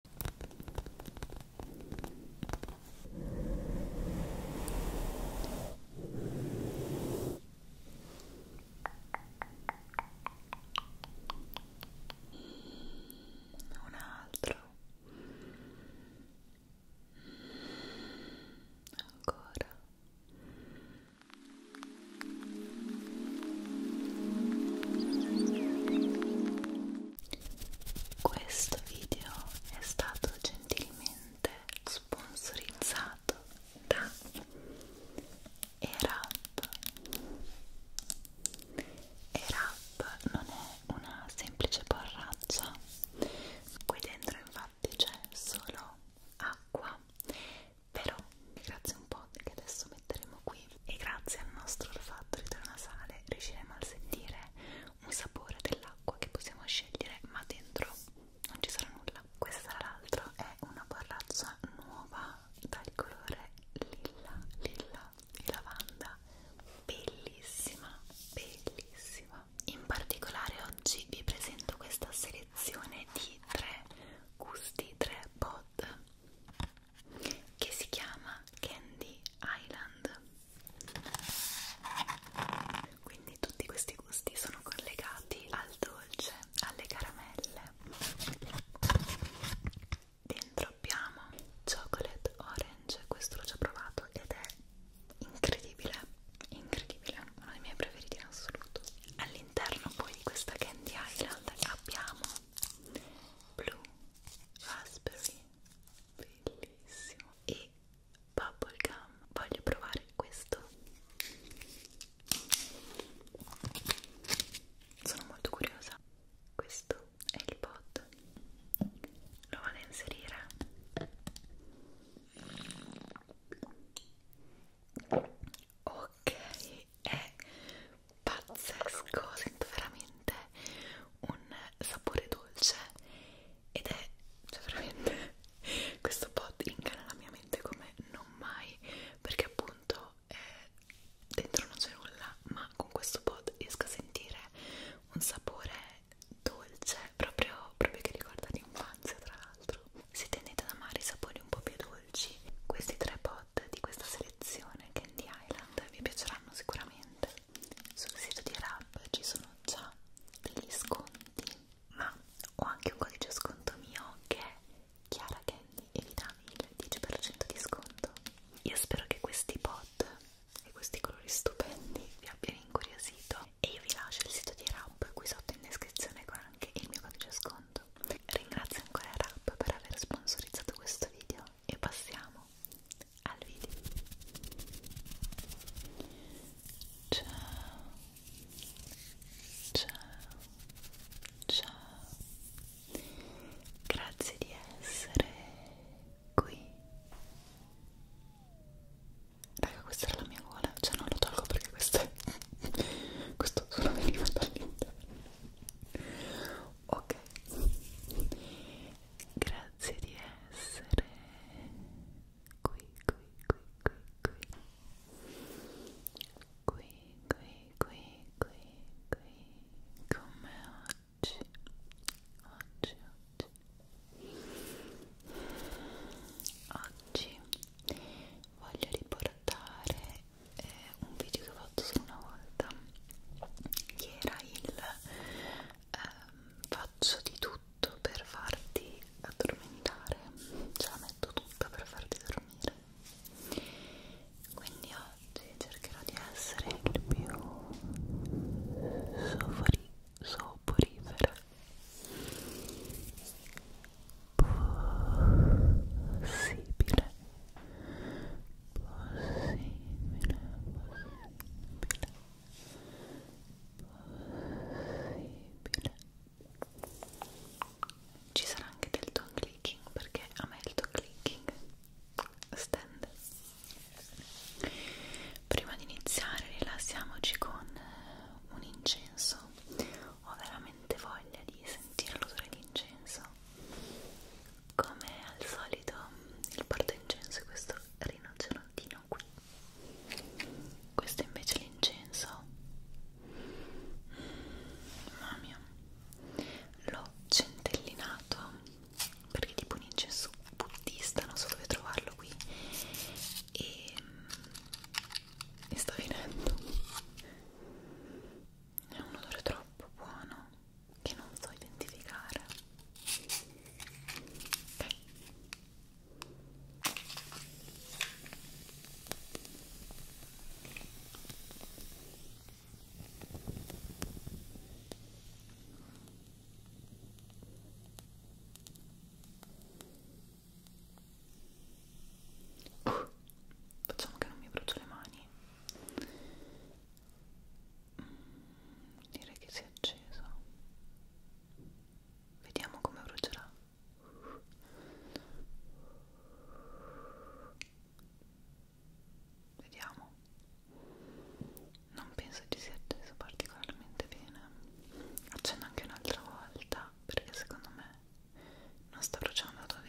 un altro ancora questo video è stato gentilmente sponsorizzato da ERAP. ERAP non è una semplice borraccia, qui dentro infatti c'è solo acqua, però grazie un po' che adesso metteremo siamo qui e grazie al nostro olfatto retronasale riusciremo a sentire un sapore dell'acqua che possiamo scegliere ma dentro non ci sarà nulla questa tra l'altro è una borraccia nuova dal colore lilla lilla e lavanda bellissima bellissima in particolare oggi vi presento questa selezione di tre gusti tre pot che si chiama Candy Island quindi tutti questi gusti sono collegati al dolce, alle caramelle dentro abbiamo chocolate orange questo l'ho già provato ed è incredibile incredibile, uno dei miei preferiti in assoluto all'interno poi di questa Candy Island abbiamo blu raspberry bellissimo e bubblegum voglio provare questo sono molto curiosa questo è il pot lo vado a inserire ok è pazzesco, sento veramente un sapore dolce ed è cioè veramente questo pot incana la mia mente come non mai perché appunto eh, dentro non c'è nulla ma con questo pot riesco a sentire un sapore dolce proprio, proprio che ricorda l'infanzia tra l'altro se tendete ad amare i sapori un po' più dolci questi tre pot di questa serie collezione Candy Island vi piaceranno sicuramente sul sito di Rab ci sono già degli sconti ma ho anche un codice sconto mio che è Chiara Candy e vi dà il 10% di sconto io spero che questi pod e questi colori stupendi vi abbiano incuriosito e io vi lascio il sito di Rab qui sotto in descrizione con anche il mio codice sconto ringrazio ancora Rab per aver sponsorizzato questo video e passiamo al video ciao ciao ciao grazie di essere qui raga questa era la mia gola cioè non lo tolgo perché questo è questo suono veniva dall'interno ok grazie di essere qui qui qui qui qui qui qui qui qui qui come oggi oggi oggi oggi voglio riportare eh, un video che ho fatto solo una volta che era il ehm, faccio di tutto per farti addormentare ce la metto tutta per farti dormire quindi oggi cercherò di essere il più sopori, soporifera possibile possibile, possibile. Ci sarà anche del tongue clicking perché a me il tongue clicking stand. Prima di iniziare rilassiamoci con un incenso. Ho veramente voglia di sentire l'odore di incenso come al solito il porto incenso è questo rinocerontino qui questo è invece l'incenso mm, mamma mia l'ho centellinato perché tipo un incenso buddista non so dove trovarlo qui e mm, mi sta finendo è un odore troppo buono che non so identificare okay. Uh, facciamo che non mi brucio le mani Direi che si è acceso. Vediamo come brucerà. Vediamo. Non penso ci sia acceso particolarmente bene. Accendo anche un'altra volta perché secondo me non sta bruciando a dovere.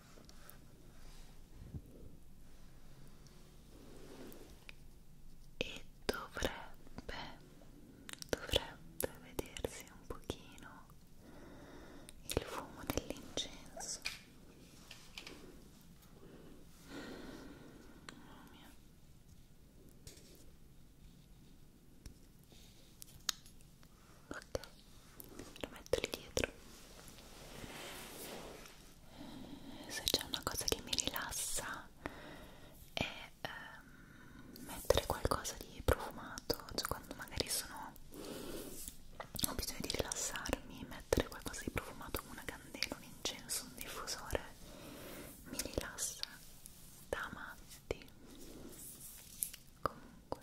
e dovrebbe dovrebbe vedersi un pochino il fumo dell'incenso mamma mia ok lo metto lì dietro se c'è una cosa che mi rilassa è ehm, mettere qualcosa di profumato cioè quando magari sono ho bisogno di rilassarmi mettere qualcosa di profumato come una candela, un incenso, un diffusore mi rilassa da matti comunque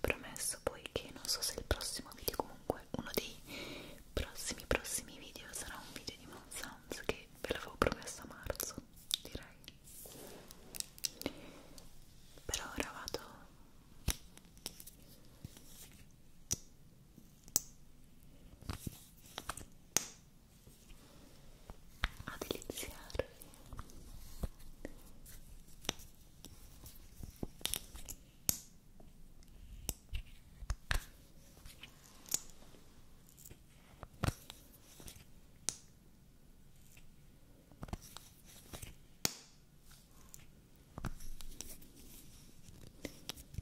Promesso poi che non so se il prossimo video, comunque uno dei prossimi prossimi video sarà un video di Mount Sounds che ve l'avevo promesso a marzo, direi. Per ora vado a deliziarvi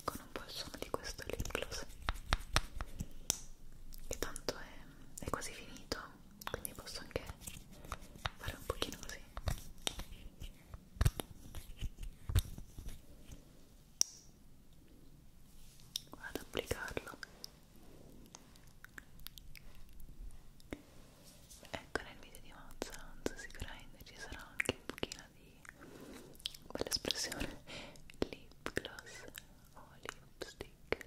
con un po' il suono di questo lip gloss che tanto è, è quasi finito quindi posso anche fare un pochino così vado ad applicarlo ecco nel video di Mazzanzo sicuramente ci sarà anche un pochino di quell'espressione lip gloss o lipstick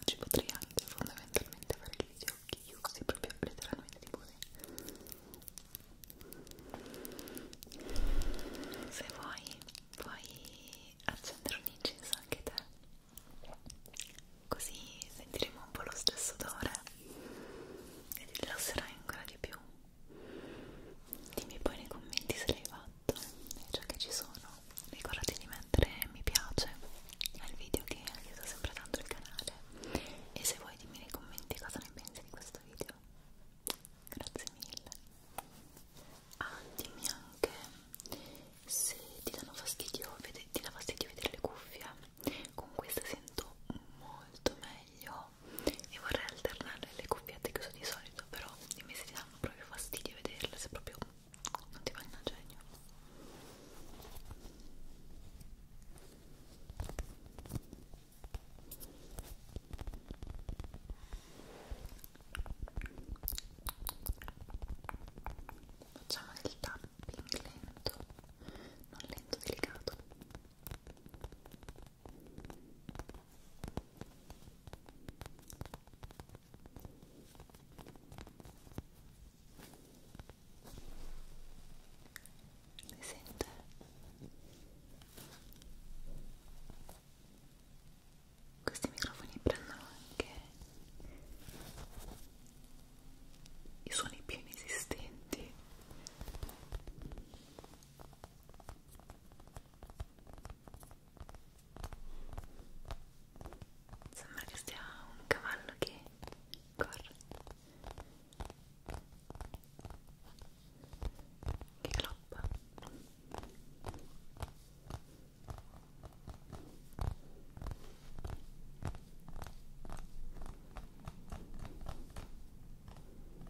Oggi potrei anche fondamentalmente fare gli occhi chiusi, proprio letteralmente tipo Se vuoi puoi accendere un incenso anche te, così sentiremo un po' lo stesso odore e ti rilasserai ancora di più. Dimmi poi nei commenti se l'hai fatto e già che ci sono ricordati di mettere mi piace al video che aiuta sempre tanto il canale e se vuoi dimmi nei commenti cosa ne pensi di questo video grazie mille ah dimmi anche se ti danno fastidio ti dà fastidio vedere le cuffie con queste sento molto meglio no e vorrei alternare le cuffiette che uso di solito però i mesi ti danno proprio fastidio vederle se proprio non ti vanno a genio Facciamo del tapping lento, non lento, delicato. Le sente? Questi microfoni prendono anche i suoni più inesistenti Sembra che sia un cavallo che corre che galoppa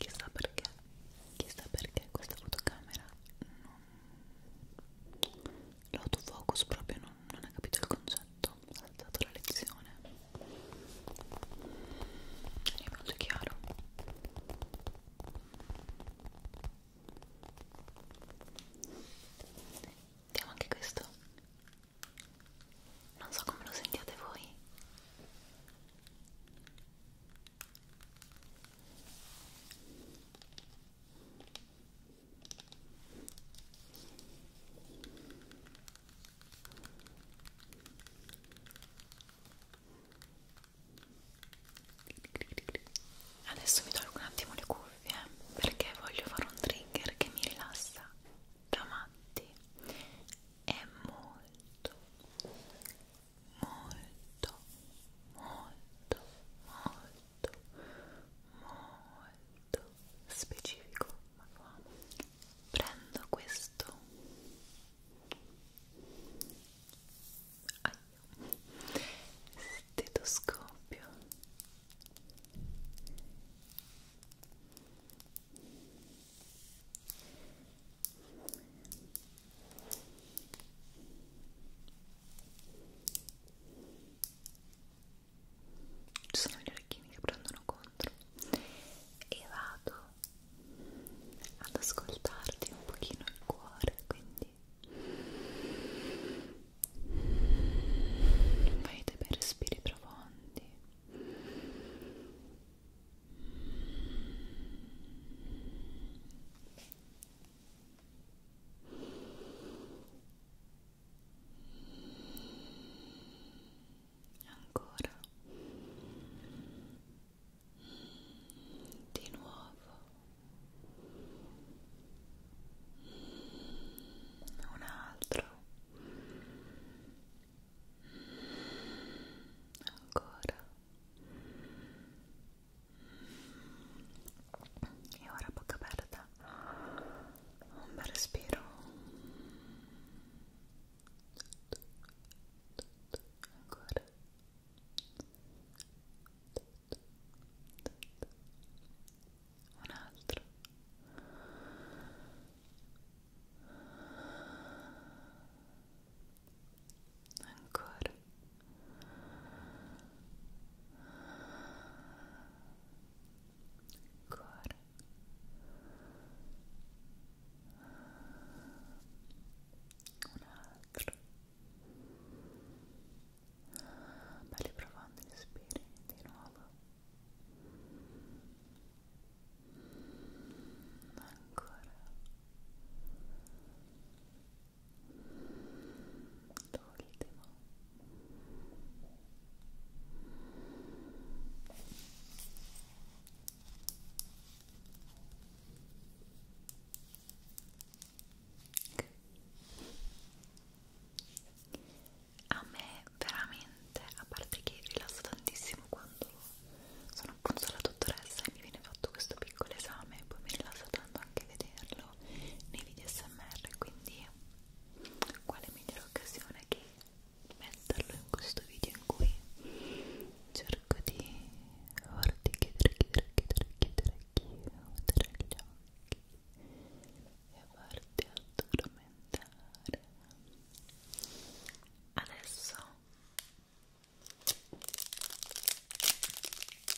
Chissà perché, chissà perché questa fotocamera non l'autofocus proprio non, non ha capito il concetto ha dato la lezione è molto chiaro vediamo anche questo non so come lo sentiate voi Adesso mi tolgo un attimo le cuffie perché voglio fare un trigger che mi rilassa da matti. È molto, molto, molto, molto, molto molto specifico manuale prendo questo ah, stetoscopio e ci sono gli orecchini che prendono contro e vado ad ascoltarti un pochino il cuore quindi fai dei bei respiri profondi e ancora di nuovo un altro ancora e ora bocca aperta vita un bel respiro ancora un altro ancora ancora un altro belli profondi respiri di nuovo ancora l'ultimo a me veramente a parte che rilasso tantissimo quando sono appunto la dottoressa e mi viene fatto questo piccolo esame poi mi rilassa tanto anche vederla farlo nei video smr quindi quale migliore occasione che metterlo in questo video in cui cerco di farti chiudere, chiudere, chiudere, chiudere, chiudere gli occhi e farti addormentare adesso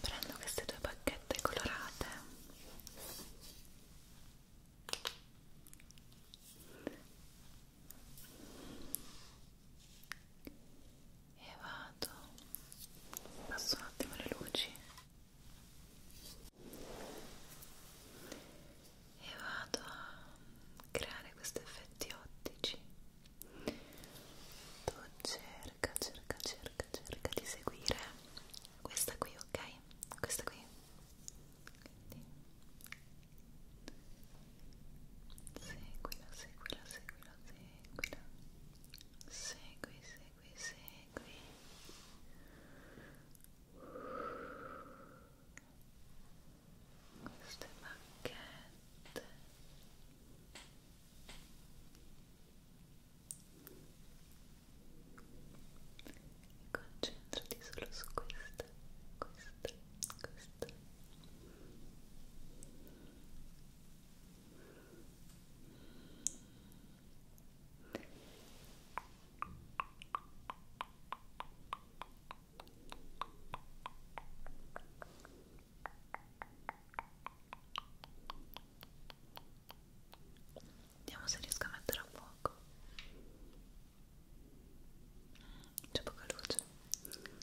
prendo queste due bacchette colorate e vado passo un attimo le luci e vado a creare questi effetti ottici tu cerca, cerca, cerca, cerca di seguire questa qui, ok? Questa qui. Quindi. Seguila, seguila, seguila, seguila. Segui, segui, segui. Bene, queste bacchette e concentrati solo su queste, queste, queste Vediamo se riesco a mettere a fuoco. C'è poca luce. Ecco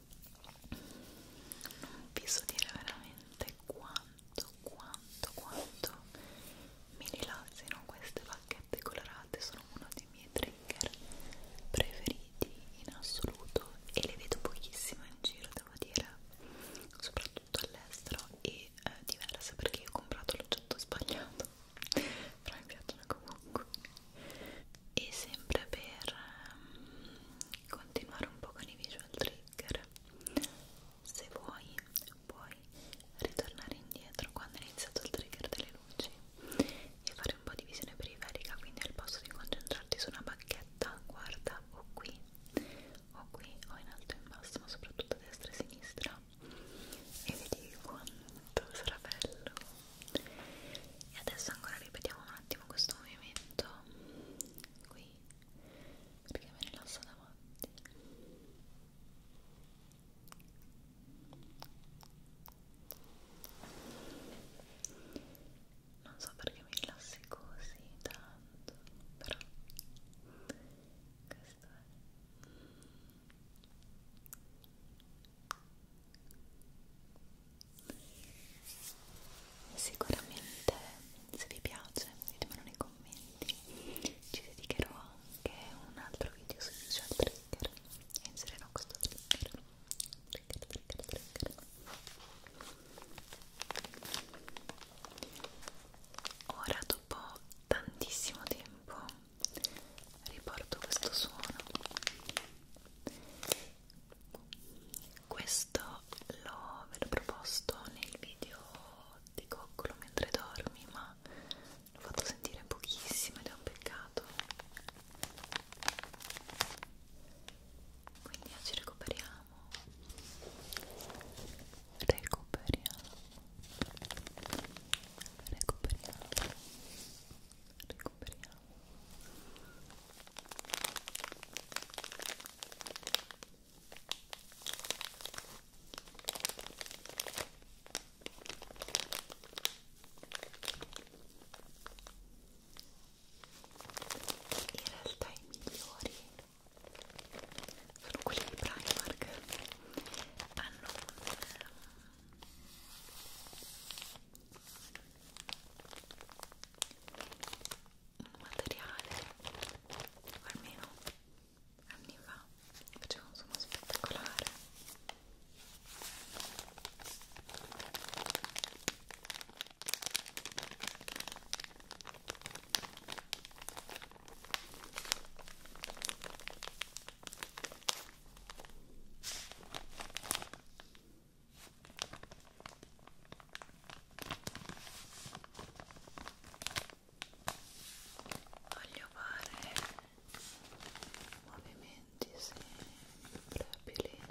non vi so dire veramente quanto, quanto, quanto mi rilassino queste bacchette colorate, sono uno dei miei trigger preferiti in assoluto e le vedo pochissimo in giro, devo dire, soprattutto all'estero e eh, diverse perché ho comprato l'oggetto sbagliato, però mi piacciono comunque e sempre per um, continuare un po' con i visual trigger se vuoi puoi ritornare indietro quando è iniziato il trigger delle luci e fare un po' di visione periferica quindi al posto di concentrarti su una bacchetta guarda o qui o qui o in alto e in basso ma soprattutto a destra e a sinistra e vedi quanto sarà bello e adesso ancora ripetiamo un attimo questo movimento qui perché me ne lascio davanti non so perché mi rilassi così tanto però questo è sicuramente se vi piace ditemelo nei commenti ci dedicherò anche un altro video sui social trigger e inserirò questo trigger trigger trigger trigger ora dopo tantissimo tempo riporto questo suono questo questo l'ho ve l'ho proposto nel video di Coccolo mentre dormi, ma l'ho fatto sentire pochissimo ed è un peccato. Quindi oggi recuperiamo. Recuperiamo. Recuperiamo. Recuperiamo. In realtà i migliori sono quelli di Primark. Hanno un un materiale almeno anni fa faceva un suono spettacolare voglio fare movimenti sempre abilienti Ecco.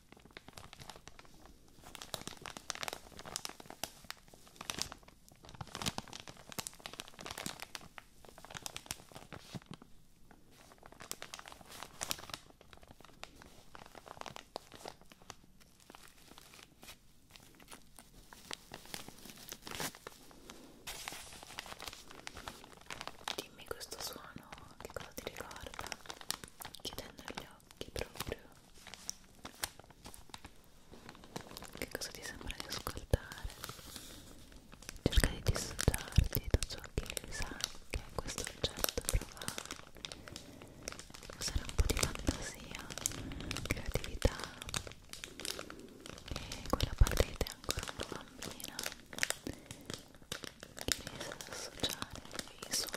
Dimmi questo suono che cosa ti ricorda chiudendo gli occhi proprio che cosa ti sembra di ascoltare cerca di dissociarti da ciò che sa che questo oggetto prova usare un po' di fantasia creatività e quella parte che è ancora una bambina che riesce ad associare i suoni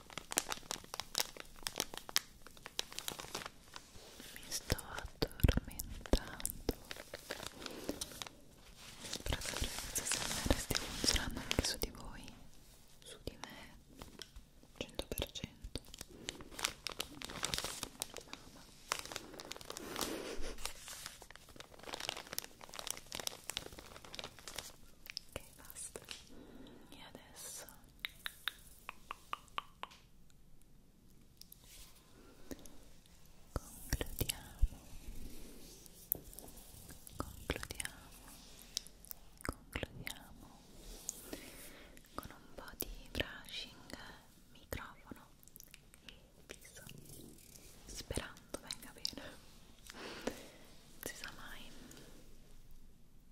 mi sto addormentando spero che questa SMR stia funzionando anche su di voi su di me 100% mamma ok basta e adesso concludiamo concludiamo concludiamo con un po' di brushing microfono e viso sperando venga bene non si sa mai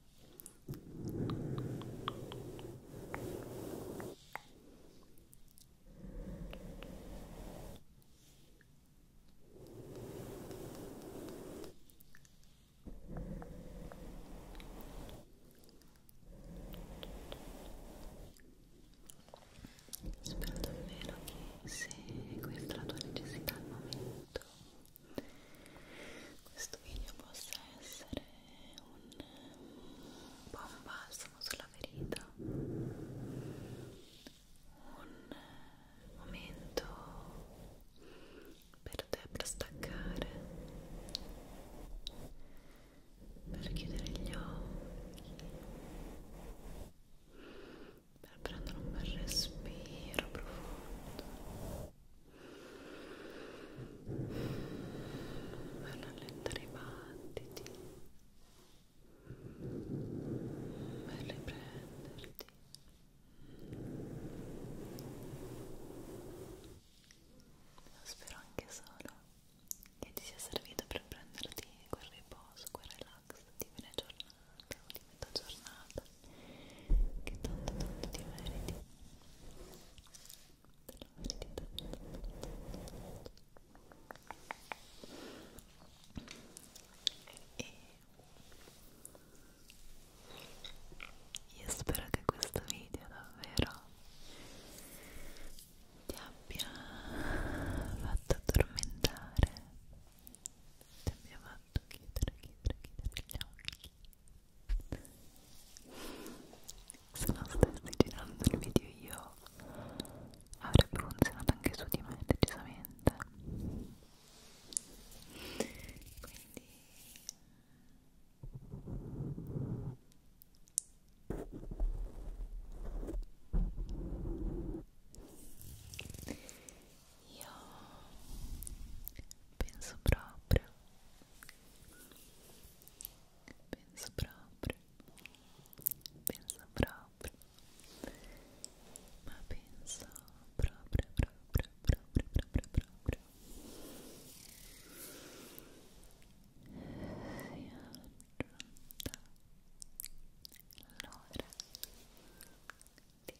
Spero davvero che se questa è la tua necessità al momento questo video possa essere un buon balsamo sulla ferita un momento per te per staccare per chiudere gli occhi per prendere un bel respiro profondo per rallentare i battiti per riprenderti spero anche solo che ti sia servito per prenderti quel riposo, quel relax di fine giornata giornata o di metà giornata che tanto tanto ti meriti te lo meriti tanto e io spero che questo video davvero ti abbia fatto addormentare ti abbia fatto soltanto chiudere, chiudere, chiudere gli occhi se non stessi girando il video io avrebbe funzionato anche su di me decisamente quindi io penso proprio penso proprio penso proprio ma penso proprio proprio proprio proprio proprio si aggiunta l'ora di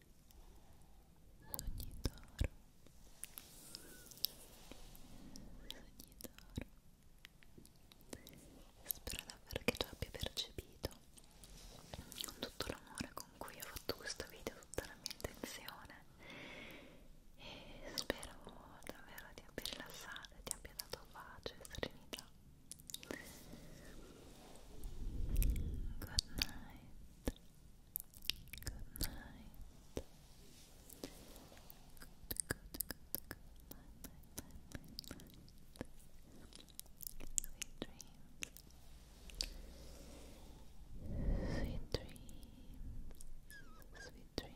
Sognitoro Sognitoro Spero davvero che tu abbia percepito con tutto l'amore con cui ho fatto questo video, tutta la mia intenzione e spero davvero ti abbia rilassato e ti abbia dato pace e serenità Good night Good night. Good, good, good, good night, night, night, night, Sweet dreams. Sweet dreams. Sweet dreams.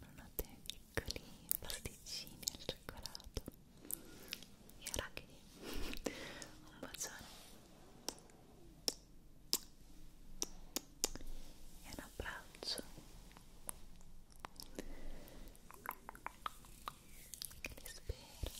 non ottiene piccoli pasticcini al cioccolato e arachidi un bacione e un abbraccio che li spero